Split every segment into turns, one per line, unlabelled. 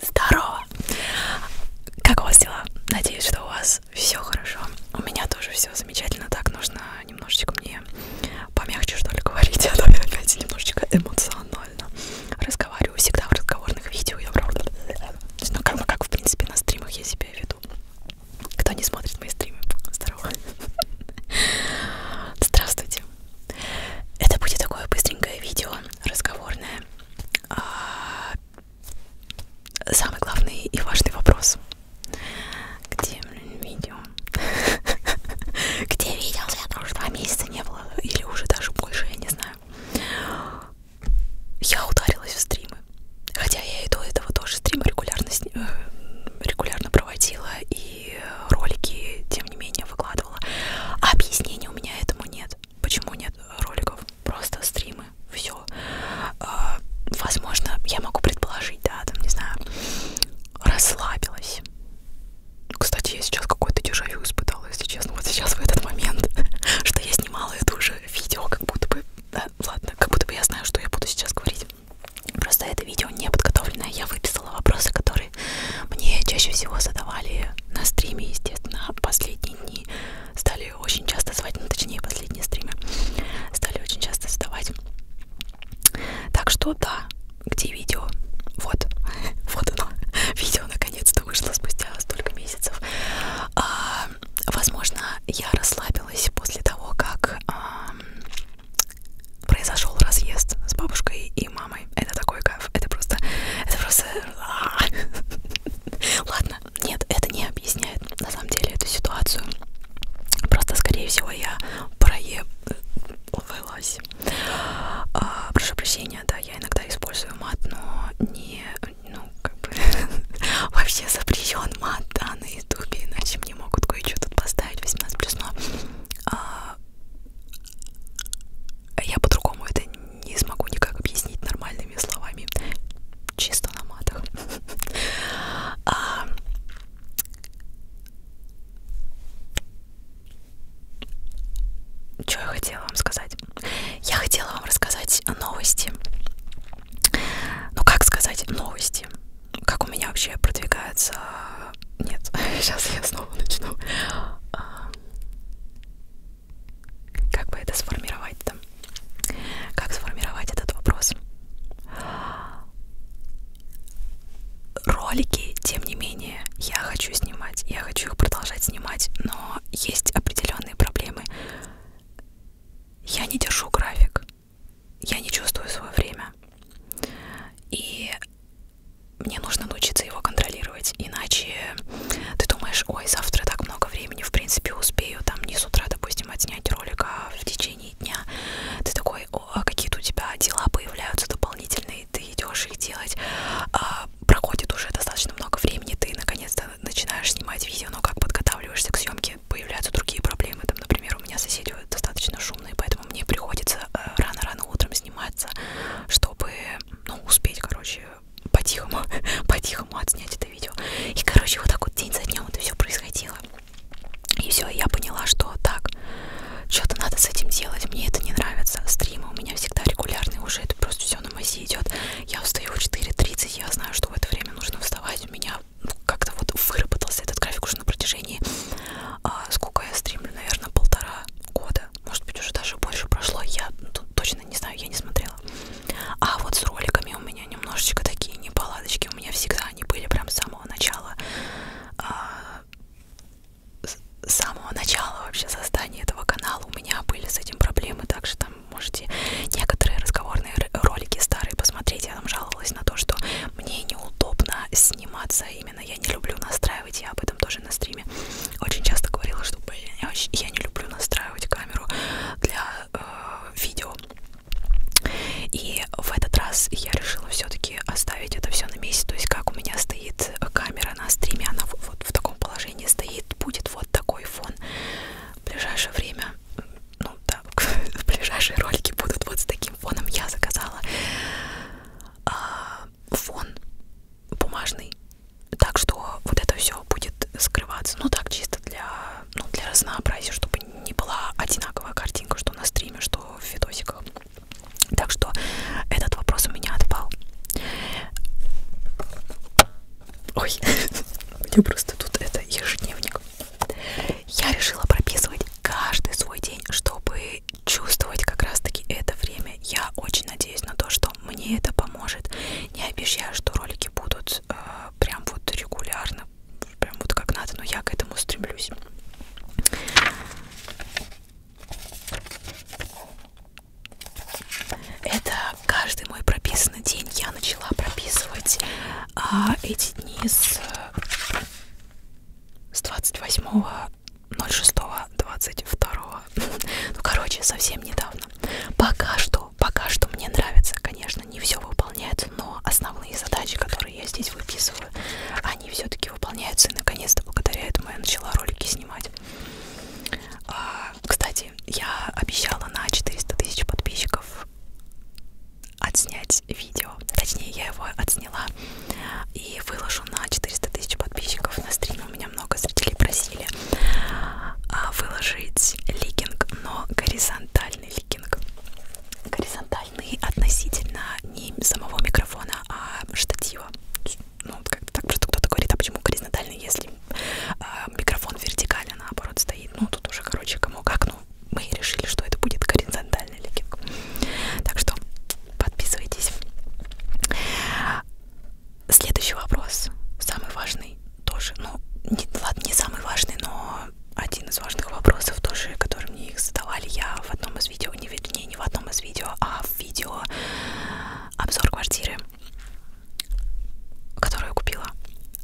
Здорово! Как у вас дела? Надеюсь, что у вас все хорошо. У меня тоже все замечательно. Так нужно немножечко мне помягче, что ли, говорить. А то я опять немножечко эмоционально разговариваю. Всегда в разговорных видео я правда... Ну, как, как, в принципе, на стримах я себя веду. Кто не смотрит мои стримы, здорово. Здравствуйте. Это будет такое быстренькое видео, разговорное. А, самый главный и важный вопрос. Где видео? Где видео? Я тоже два месяца не было, или уже даже больше, я не знаю. Я ударилась в стримы, хотя я и до этого тоже стримы регулярно, сни... Э, регулярно проводила и ролики, тем не менее, выкладывала. А объяснения у меня этому нет. Почему нет роликов? Просто стримы, все. А, возможно, я могу предположить, да, там, не знаю, расслабилась. Кстати, я сейчас какой-то дежавю испытала, если честно, вот сейчас в этот момент, что я снимала это уже видео, как будто бы, да, ладно, как будто бы я знаю, что я буду сейчас говорить. Просто это видео не подготовленное, я выписала вопросы, которые которые мне чаще всего задавали на стриме, естественно, последние дни стали очень часто звать, ну точнее последние стримы стали очень часто задавать. Так что да, где видео? Вот, вот оно, видео наконец-то вышло спустя столько месяцев. А, возможно, я расслабилась после того, как а, произошел разъезд с бабушкой, и мамой. Это такой кайф. Это просто... Это просто... А. Ладно, нет, это не объясняет на самом деле эту ситуацию. Просто, скорее всего, я проебывалась. А, прошу прощения, да, я иногда использую мат, но не... Ну, как бы... Вообще запрещен мат, да, на ютубе, иначе мне могут кое-что тут поставить 18+, но... А, я по-другому это не смогу никак объяснить нормальными словами, чисто на матах. А, Что я хотела вам сказать? Я хотела вам рассказать новости. Ну как сказать новости? Как у меня вообще продвигается... Нет, сейчас я снова начну. А, как бы это сформировать-то? Как сформировать этот вопрос? Ролики, тем не менее, я хочу снимать, я хочу их продолжать снимать, но есть определенные проблемы. Я не держу график, я не чувствую свое время. И мне нужно научиться его контролировать, иначе ты думаешь, ой, завтра так много времени, в принципе, успею там не с утра, допустим, отснять ролик, а в течение дня ты такой, о, а какие-то у тебя дела появляются дополнительные, ты идешь их делать, а, проходит уже достаточно много времени, ты наконец-то начинаешь снимать видео, но как подготавливаешься к съемке, появляются другие проблемы, там, например, у меня соседи достаточно шумные, поэтому мне приходится э, рано-рано утром сниматься, чтобы ну, успеть, короче, по-тихому, по-тихому отснять это видео. И, короче, вот так вот день за днем это все происходило. И все, я поняла, что так, что-то надо с этим делать, мне это не нравится. Стримы у меня всегда регулярные уже, это просто все на массе идет. Я встаю в 4.30, я знаю, что в это время нужно вставать. У меня ну, как-то вот выработался этот график уже на протяжении, а, сколько я стримлю, наверное, полтора года может быть, уже даже больше прошло, я тут точно не знаю, я не смотрела. А вот с роликами у меня немножечко такие неполадочки, у меня всегда они были прям с самого начала, э, с самого начала вообще создания этого канала у меня были с этим проблемы, так что там можете некоторые разговорные ролики старые посмотреть, я там жаловалась на то, что мне неудобно сниматься и именно я не люблю настраивать, я об этом тоже на стриме очень часто говорила, что блин, я, очень, я не люблю настраивать камеру для э, видео. И в этот раз я решила все-таки оставить это все на месте. То есть как у меня стоит камера на стриме, она вот в таком положении стоит, будет вот такой фон в ближайшее время. Ну да, в ближайшие ролики будут вот с таким фоном. Я заказала а, фон бумажный. Так что вот это все будет скрываться. Ну так чисто для, ну, для разнообразия, чтобы не была одинаковая картинка, что на стриме, что в видосиках. Так что этот вопрос у меня отпал. Ой, мне просто тут это ежедневник. Я решила прописывать каждый свой день, чтобы чувствовать как раз таки это время. Я очень надеюсь на то, что мне это поможет. Не обещаю, что ролики будут э, прям вот регулярно, прям вот как надо, но я к этому стремлюсь. Это каждый мой прописанный день. Я начала прописывать э, эти дни с, э, с 28 06.22. Ну, короче, совсем недавно. Пока что, пока что мне нравится, конечно, не все выполняется, но основные задачи, которые я здесь выписываю, они все-таки выполняются, и наконец-то благодаря этому я начала ролики снимать. А, кстати, я обещала на 400 тысяч подписчиков отснять видео. Точнее, я его отсняла сняла и выложу на 400 тысяч подписчиков на стриме. У меня много зрителей просили а, выложить ликинг, но горизонтальный ликинг. Горизонтальный относительно не самого микрофона, а штатива. Ну, как-то так просто кто-то говорит, а почему горизонтальный, если а, микрофон вертикально наоборот стоит. Ну, тут уже, короче, кому как, ну, мы решили, что это будет горизонтальный ликинг. Так что Подписывайтесь. Следующий вопрос, самый важный тоже, ну, не, ладно, не самый важный, но один из важных вопросов тоже, который мне их задавали, я в одном из видео, не, вернее, не в одном из видео, а в видео обзор квартиры, которую я купила,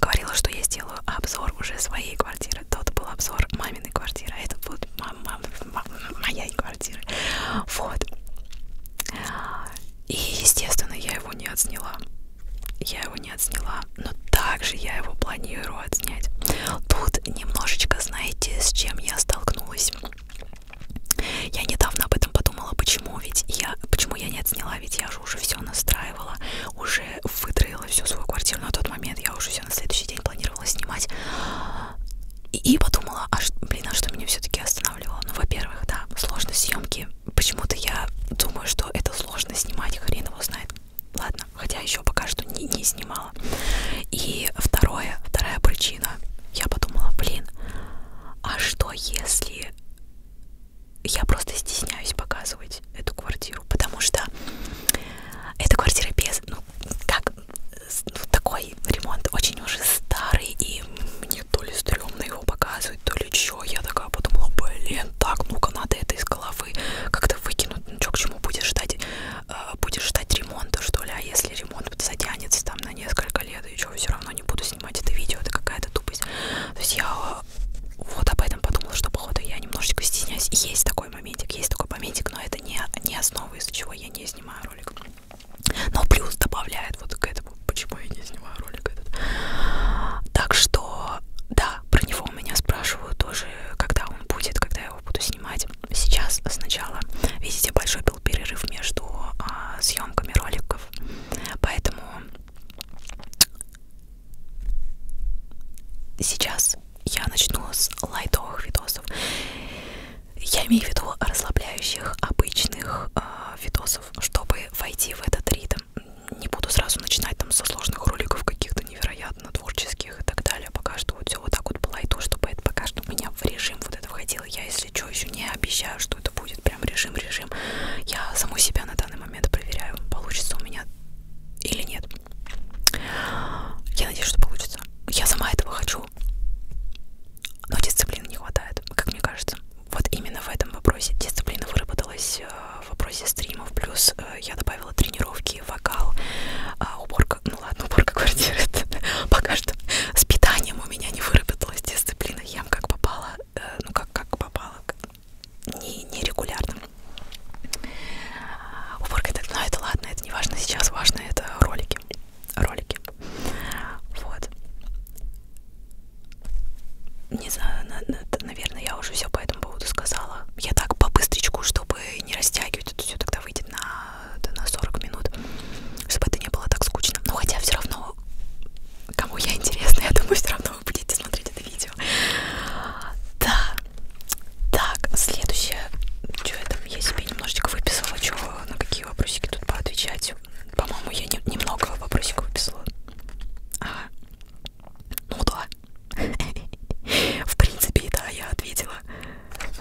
говорила, что я сделаю обзор уже своей квартиры, тот был обзор маминой квартиры, а это будет мама, мама, моя моей квартиры. Вот. И, естественно, я его не отсняла. Я его не отсняла, но также я его планирую отснять. Тут немножечко, знаете, с чем я столкнулась. Я недавно об этом подумала, почему ведь я, почему я не отсняла, ведь я же уже все настраивала, уже вытроила всю свою квартиру на тот момент, я уже все на следующий день планировала снимать, и, и подумала, а, блин, а что меня все-таки останавливало? Ну, во-первых, да, сложность съемки. Почему-то я думаю, что это сложно снимать, хрен его знает. Ладно, хотя еще пока что не, не снимала. И второе, вторая причина. Я подумала, блин, а что если я просто стесняюсь показывать эту квартиру? Потому что эта квартира без, ну, как ну, такой ремонт очень уже старый, и мне то ли стрёмно его показывать, то ли чё. Я такая подумала, блин, так, ну-ка надо это из головы как-то выкинуть. Ну чё, к чему будешь ждать, э, будешь ждать ремонта, что ли? А если ремонт затянется там на несколько лет, и чё, все равно не буду снимать это видео, это какая-то тупость. То есть я э, вот об этом подумала, что походу я немножечко стесняюсь. Есть такой моментик, есть такой моментик, но это не, не основа, из-за чего я не снимаю ролик. Но плюс добавляет вот к этому, почему я не снимаю ролик этот. Так что, да, про него меня спрашивают тоже, когда он будет, когда я его буду снимать. Сейчас сначала, видите, большой был перерыв между а, съемками роликов, поэтому сейчас я начну с лайтовых видосов. Я имею в виду расслабляющих, обычных э, видосов, чтобы войти в этот ритм. Не буду сразу начинать там со сложных роликов каких-то невероятно творческих и так далее. Пока что вот все вот так вот по лайту, чтобы это пока что у меня в режим вот это входило. Я, если что, еще не обещаю, что это будет прям режим-режим. Я саму себя на данный момент проверяю, получится у меня или нет. Я надеюсь, что получится. Я сама этого хочу сил. Но дисциплины не хватает, как мне кажется. Вот именно в этом вопросе дисциплина выработалась э, в вопросе стримов. Плюс э, я добавила тренировки, вокал, а, уборка. Ну ладно, уборка квартиры. Пока что с питанием у меня не выработалась дисциплина. Ем как попало, э, ну как как попало, нерегулярно. Не уборка, ну это ладно, это не важно. Сейчас важно это ролики ролики, ролики, вот. Не знаю, наверное, я уже все по этому поводу сказала. Я так по быстричку, чтобы не растягивать это все, тогда выйдет на, на 40 минут, чтобы это не было так скучно. Но ну, хотя все равно, кому я интересна, я думаю, все равно вы будете смотреть это видео. Да, так, следующее. Что я там? Я себе немножечко выписала, что на какие вопросики тут поотвечать. По-моему, я не, немного вопросиков выписала. Ага. Ну да. В принципе, да, я ответила.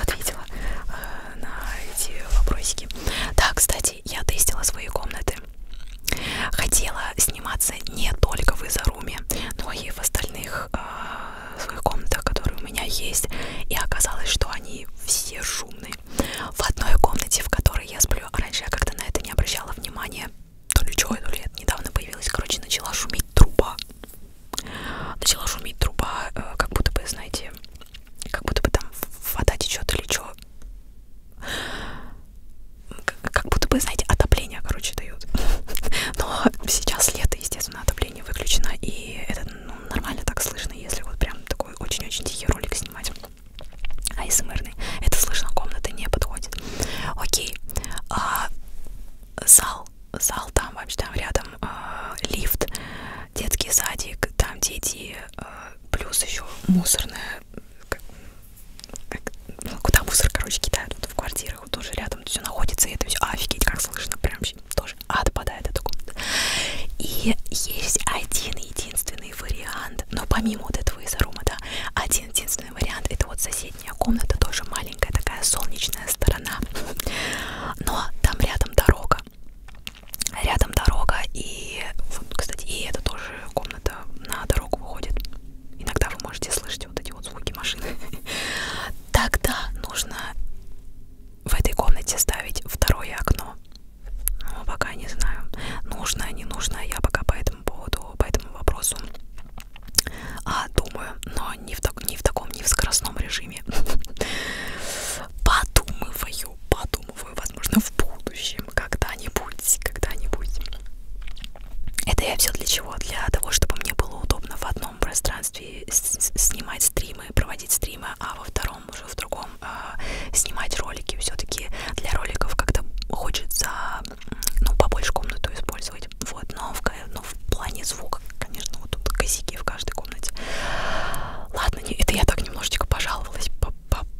Ответила э, на эти вопросики. Да, кстати, я тестила свои комнаты. Хотела сниматься не только в Изаруме, но и в остальных э, своих комнатах, которые у меня есть, и оказалось, что они все шумные. В одной комнате, в которой я сплю, а раньше я как-то на это не обращала внимания, то ли что, то ли это недавно появилась, короче, начала шуметь труба. Начала шуметь труба, э, как будто бы, знаете, как будто бы там вода течет или что. Как будто бы, знаете, отопление, короче, дают. Но сейчас лето, естественно, отопление отопление выключено, и это ну, нормально так слышно, если вот прям такой очень-очень тихий ролик снимать. Айсмерный. Это слышно, комната не подходит. Окей. А, зал. Зал там вообще там рядом а, лифт, детский садик, там дети, а, плюс еще мусорная. Как, как, ну, куда мусор, короче, кидают вот, в квартиру Кирова тоже рядом, все находится, и это все, офигеть, как слышно, прям тоже отпадает эта комната. И есть один единственный вариант, но помимо вот этого из арума, да, один единственный вариант, это вот соседняя комната, тоже маленькая такая солнечная сторона, но там рядом дорога, рядом дорога, и, вот, кстати, и это тоже комната на дорогу выходит. Иногда вы можете слышать вот эти вот звуки машины. Тогда нужно в этой комнате ставить второе окно. Ну, а пока не знаю, нужно, не нужно, я пока по этому поводу, по этому вопросу а, думаю, но не в, так, не в таком, не в скоростном режиме. Подумываю, подумываю, возможно, в будущем, когда-нибудь, когда-нибудь. Это я все для чего? Для того, чтобы мне было удобно в одном одном пространстве снимать стримы, проводить стримы, а во втором уже в другом э, снимать ролики. Все-таки для роликов как-то хочется ну, побольше комнату использовать. Вот, но в, но ну, в плане звука, конечно, вот тут косяки в каждой комнате. Ладно, не, это я так немножечко пожаловалась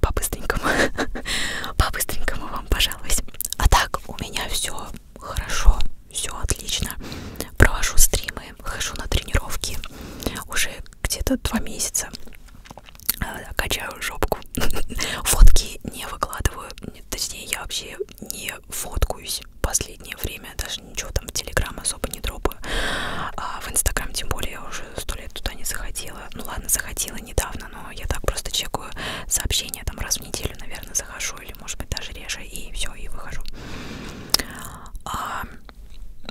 по-быстренькому. -по -по По-быстренькому вам пожаловалась. А так, у меня все хорошо все отлично. Провожу стримы, хожу на тренировки уже где-то два месяца. Э, качаю жопку. Фотки не выкладываю. Точнее, я вообще не фоткаюсь в последнее время. Даже ничего там в Телеграм особо не дропаю. А в Инстаграм тем более я уже сто лет туда не заходила. Ну ладно, заходила недавно, но я так просто чекаю сообщения. Там раз в неделю, наверное, захожу или может быть даже реже и все и выхожу а,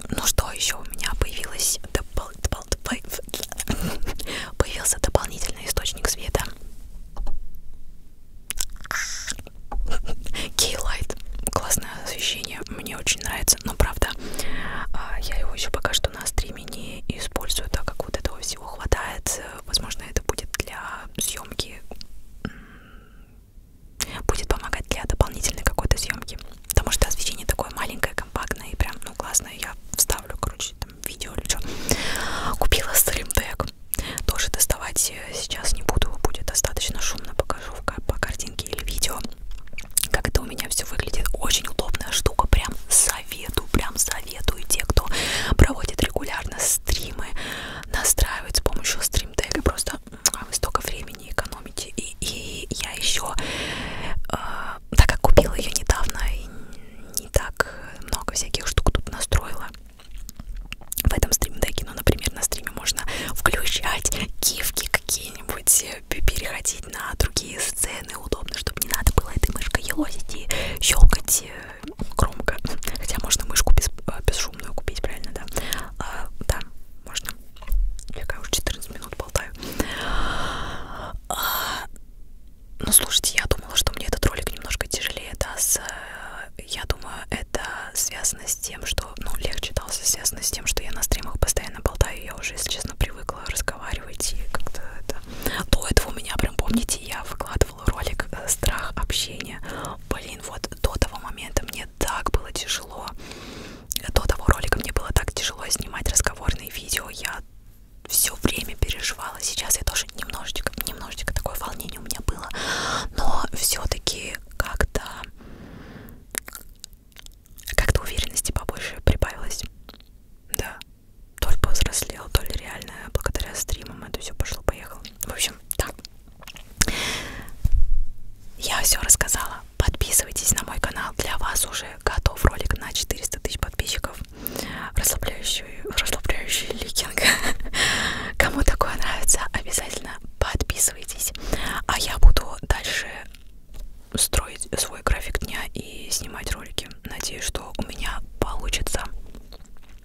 ну что еще у меня появилась допол допол появился дополнительный источник света Кейлайт классное освещение мне очень нравится но правда а, я его еще пока что на стриме не использую так как вот этого всего хватает возможно это будет для съемки будет помогать для дополнительной какой-то съемки. Потому что освещение такое маленькое, компактное и прям, ну, классное. Я вставлю, короче, там, видео или что. Купила стримтек. Тоже доставать э, сейчас не буду. Будет достаточно шумно. Покажу по картинке или видео, как это у меня все выглядит. Очень удобная штука. Прям советую, прям советую те, кто проводит регулярно стримы настраивать с помощью стримтега просто а, вы столько времени экономите и, и я еще э, а, так как купила ее недавно и не так много всяких штук тут настроила в этом стримтеге, ну например на стриме можно включать гифки какие-нибудь э, переходить на другие сцены удобно, чтобы не надо было этой мышкой елозить и щелкать э, громко. Хотя можно мышку без, а, бесшумную купить, правильно, да? А, да, можно. Я уже 14 минут болтаю. А, ну, слушайте, я думала, что мне этот ролик немножко тяжелее даст. Э, я думаю, это связано с тем, что... Ну, легче дался, связано с тем, что я на стримах постоянно болтаю. Я уже, если честно, привыкла разговаривать и как-то это... До этого у меня прям, помните, я выкладывала выкладывала ролик э, «Страх общения». Блин, вот до того момента мне так было тяжело. До того ролика мне было так тяжело снимать разговорные видео. Я все время переживала. Сейчас я тоже немножечко, немножечко такое волнение у меня было. Но все-таки как-то как-то уверенности побольше прибавилось. Да. То ли повзрослел, то ли реально благодаря стримам это все пошло-поехало. В общем, да. Я все рассказала. Подписывайтесь на мой канал. Для вас уже готов ролик на 400 тысяч подписчиков. Расслабляющий, расслабляющий ликинг. Кому такое нравится, обязательно подписывайтесь. А я буду дальше строить свой график дня и снимать ролики. Надеюсь, что у меня получится